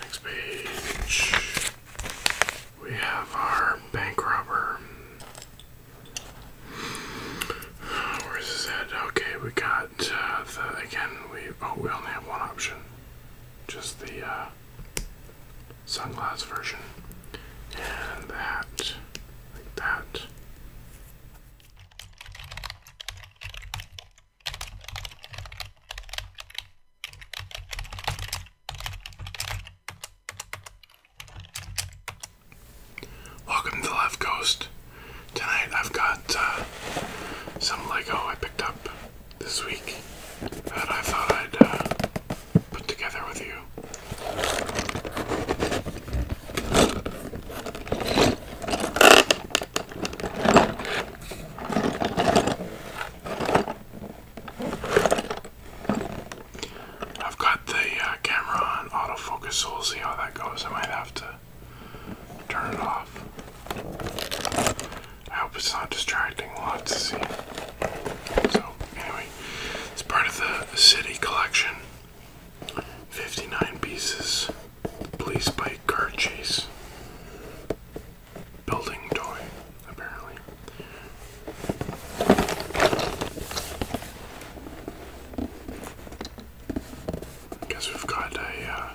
Next page, we have our bank robber. Where's his head? Okay, we got uh, the again. We oh, we only have one option, just the uh, version, and that like that. Welcome to Left Coast. Tonight I've got uh, some Lego I picked up this week that I thought I'd uh, put together with you. I've got the uh, camera on autofocus, so we'll see how that goes. I might have to turn it off. I hope it's not distracting. We'll have to see. So, anyway, it's part of the city collection 59 pieces. Police bike car chase building toy, apparently. I we've got a uh,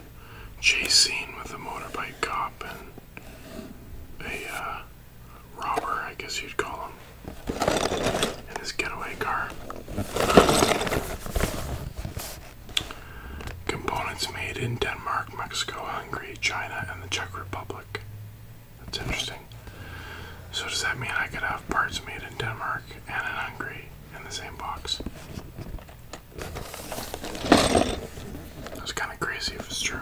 chase scene with a motorbike cop and a uh, robber, I guess you'd call him, in his getaway car. Components made in Denmark, Mexico, Hungary, China, and the Czech Republic. That's interesting. So, does that mean I could have parts made in Denmark and in Hungary in the same box? That's kind of crazy if it's true.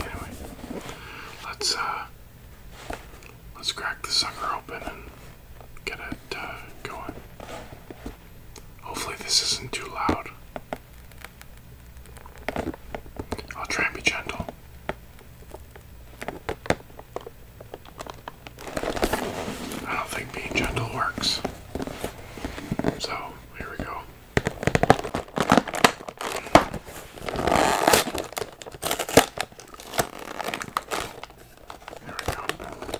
Anyway, let's uh, let's crack the sucker open and get it uh, going. Hopefully, this isn't too loud. I'll try and be gentle. I don't think being gentle works. So, here we go. There we go.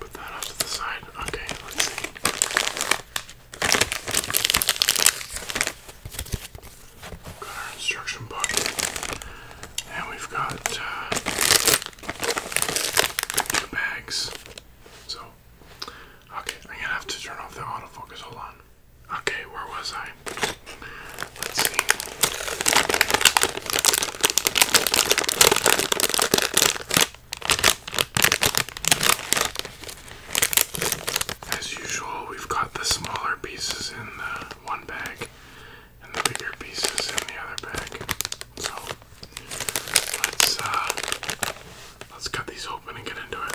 Put that off to the side. Okay, let's see. Got our instruction book. And we've got uh, bags. So, okay, I'm gonna have to turn off the autofocus. Hold on. Okay, where was I? Let's see. As usual, we've got the smaller pieces in the one bag and the bigger pieces in the other bag. So let's uh, let's cut these open and get into it.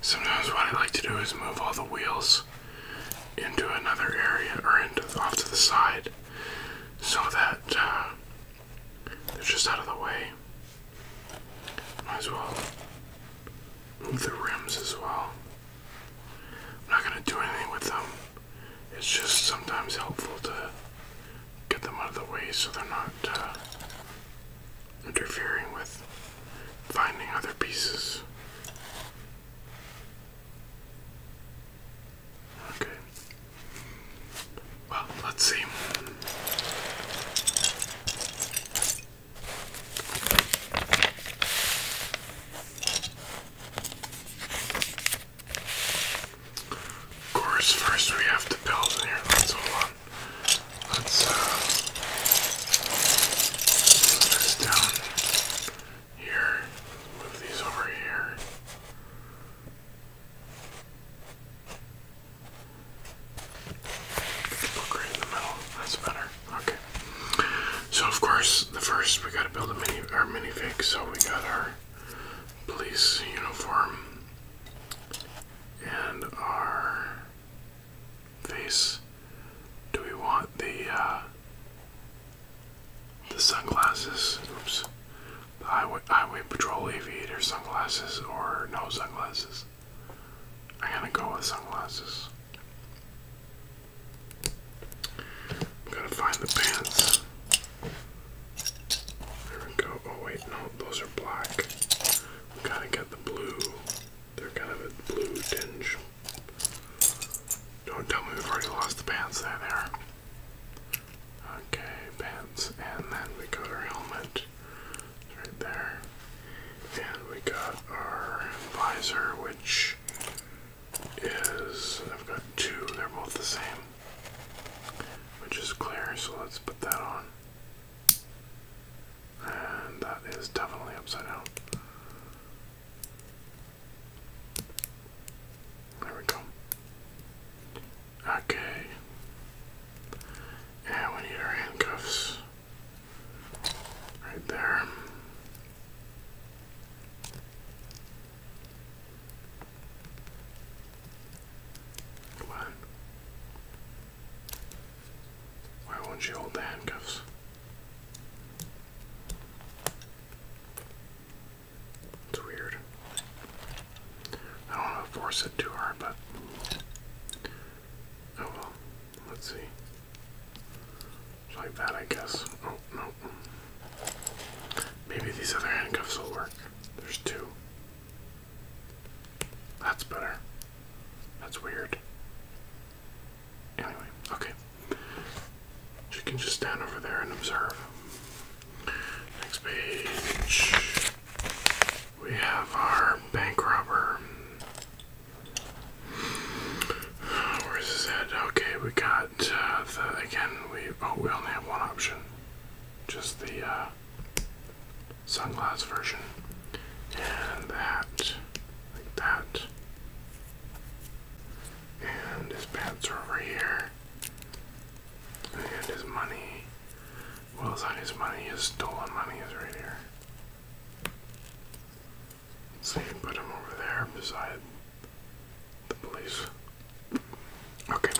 Sometimes what I like to do is move all the wheels into another area or into off to the side so that uh, they're just out of the way. Might as well move the rims as well. I'm not going to do anything with them. It's just sometimes helpful to get them out of the way so they're not uh, interfering with finding other pieces. Okay. Well, let's see. Of course, first we have to build an airline solar. Let's uh, move this down here. Move these over here. Look right in the middle. That's better. Okay. So of course, the first we gotta build a mini our minifig. So we got our police uniform and our face. Do we want the uh, the sunglasses? Oops, the highway patrol aviator sunglasses or no sunglasses? I'm gonna go with sunglasses. I'm gonna find the pants. There we go. Oh wait, no, those are black. We gotta get the blue. They're kind of a blue tinge. Don't tell me we've already lost the pants. There they are. Okay, pants. And then we got our helmet right there. And we got our visor, which is, I've got two, they're both the same, which is clear, so let's put that on. And that is definitely upside down. There we go. Okay. And we need our handcuffs. Right there. Come why won't you hold the handcuffs? It's weird. I don't want to force it too hard, but. Oh well. Let's see. like that, I guess. Oh, no. Maybe these other handcuffs will work. There's two. That's better. That's weird. Anyway, okay. You can just stand over there and observe. Next page. We have our bank robber. Where's his head? Okay, we got uh, the again. We oh, we only have one option, just the uh, sunglass version. And that, like that. And his pants are over here. And his money. Well, it's not his money, his stolen money is right here. So you put him over there beside the police. Okay.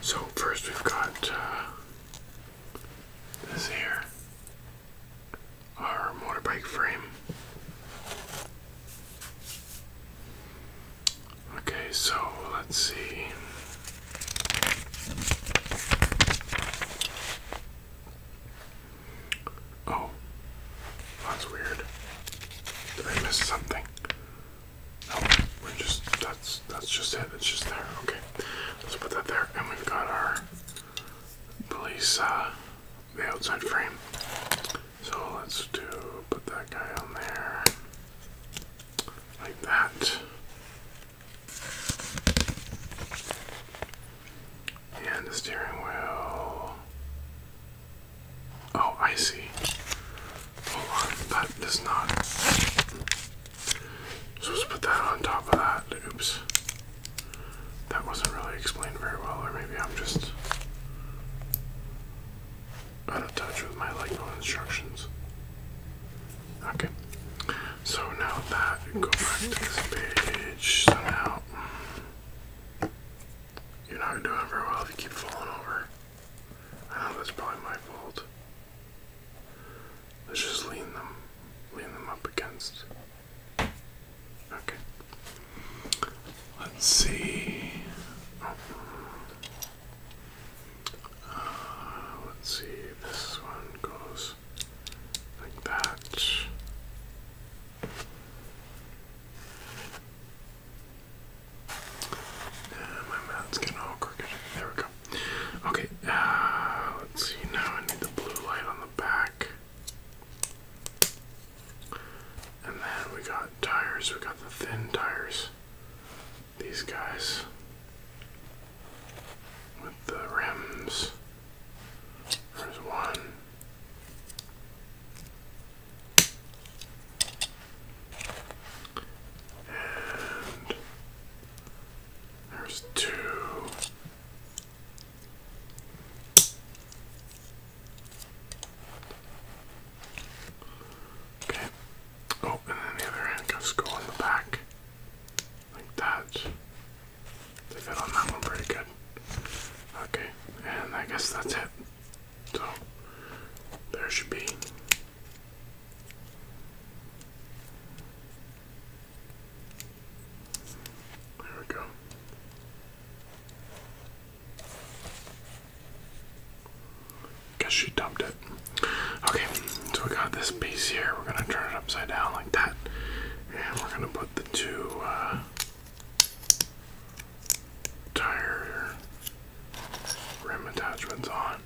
So, first we've got uh, this here. Our motorbike frame. Okay, so let's see. Oh, that's weird. Did I miss something? Oh, we're just done that's that's just it. It's just there. Okay, let's put that there, and we've got our police, uh, the outside frame. So let's do put that guy on there like that, and the steering wheel. Oh, I see. Hold on, that does not. So let's put that on top of that. Oops. That wasn't really explained very well, or maybe I'm just out of touch with my Lego instructions. Okay. So now that, go back to this page. you're not doing very well if you keep falling over. I know that's probably my fault. Let's just lean them, lean them up against. Okay. Let's see. Oh. Uh, let's see. This one goes like that. And my mat's getting all crooked. There we go. Okay, uh, let's see now. I need the blue light on the back. And then we got tires, we got the thin tires. These guys with the rims. There's one. And there's two. Okay. Oh, and then the other handcuffs go on the back. Like that. They fit on that one pretty good. Okay, and I guess that's it. So, there should be there we go. Guess she dumped it. Okay, so we got this piece here. We're gonna turn it upside down like that, and we're gonna put the two uh, tire rim attachments on.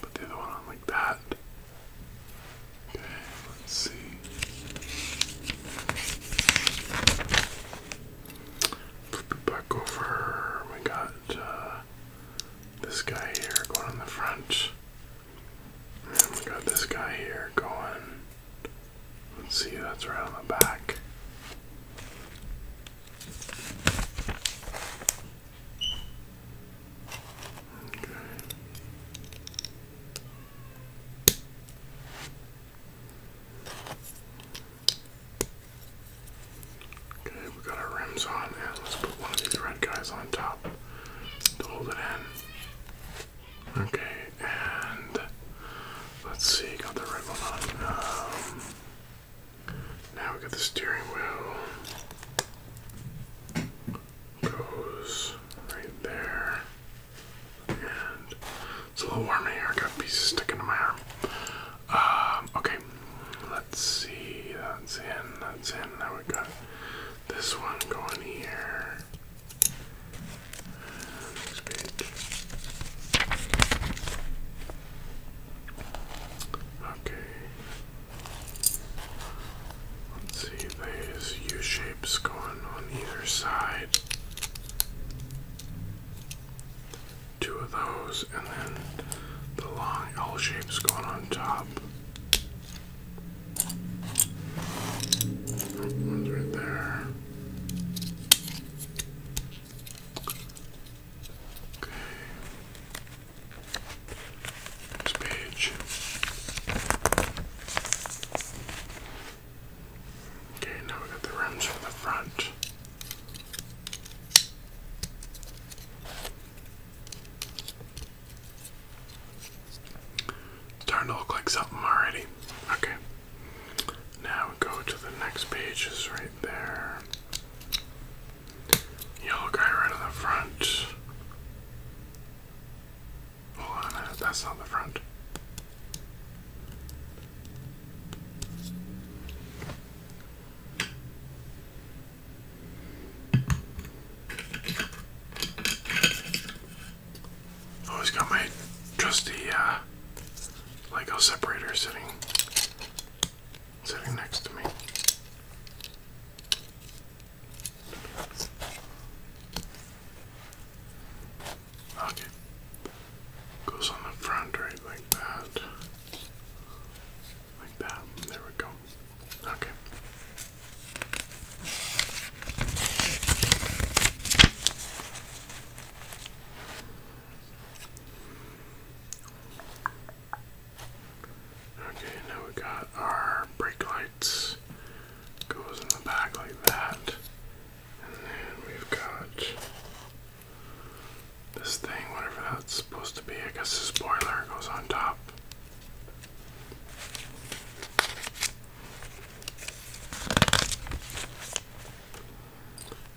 Put the other one on like that. Okay, let's see. Flip it back over. We got uh, this guy here going on the front. we got this guy here going. Let's see, that's right on the back. Okay. we got our rims on, and let's put one of these red guys on top to hold it in. Okay, and let's see, got the red on. Um, now we got the steering wheel. Goes right there. And it's a little warm in here. I got pieces sticking to my arm. Um, okay, let's see. That's in, that's in. Now we got this one going here. Next page. Okay. Let's see, there's U shapes going on either side. Two of those, and then the long L shapes going on top. One's right there. Okay. Next page. Okay, now we got the rims for the front. It's starting to look like something already. Okay. Now we go to the next page, right there. Yellow guy right in the front. Hold on, that's not the front. Always oh, got my trusty uh, Lego separator sitting sitting next to me. Okay. Goes on the front right like that. Like that. There we go. Okay. Okay, now we got our brake lights. Goes in the back like that. And then we've got this thing, whatever that's supposed to be. I guess the spoiler goes on top.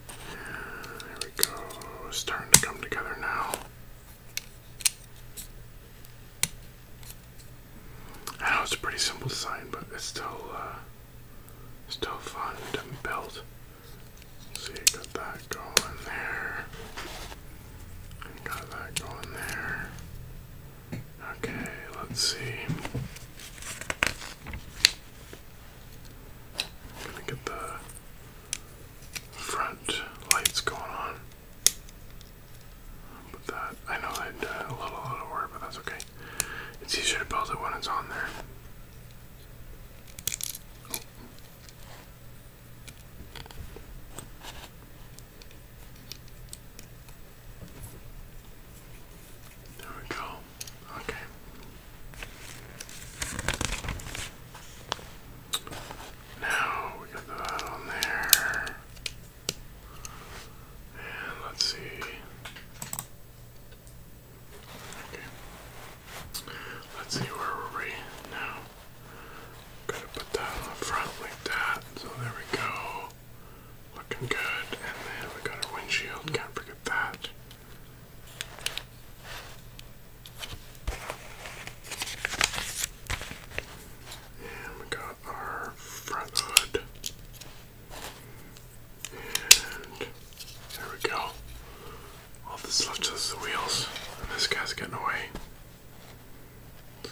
There we go. It's starting to come together now. I know it's a pretty simple sign, but it's still uh, still fun to build. see, got that going there. got that going there. Okay, let's see. gonna get the front lights going on. But that, I know that uh, a little, a little work, but that's okay. It's easier to build it when it's on there. There we go. Okay. Now we got that on there. And let's see. Okay. Let's see where were we now. Gotta put that on the front like that. So there we go. Looking good. And then we got our windshield. Can't forget that. And we got our front hood. And there we go. All that's left is the wheels. this guy's getting away. see.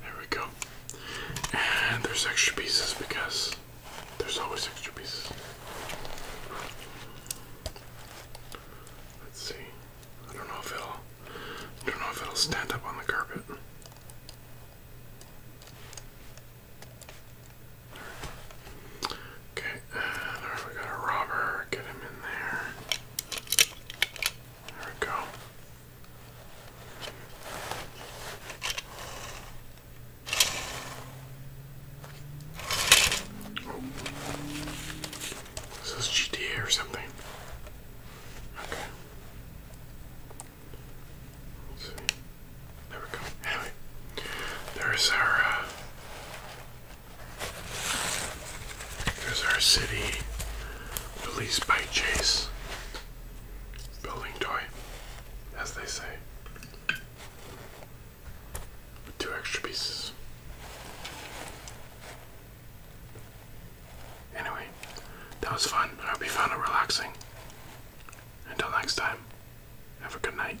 There we go. And there's extra pieces because there's always extra pieces. Let's see. I don't know if it'll I don't know if it'll stand up on the carpet. Okay, uh, we got a robber. Get him in there. There we go. Oh. This is GTA or something. Okay. There we go. Anyway, there's our uh, there's our city released by Chase building toy, as they say. two extra pieces. Anyway, that was fun. I hope you found it relaxing. Until next time, have a good night.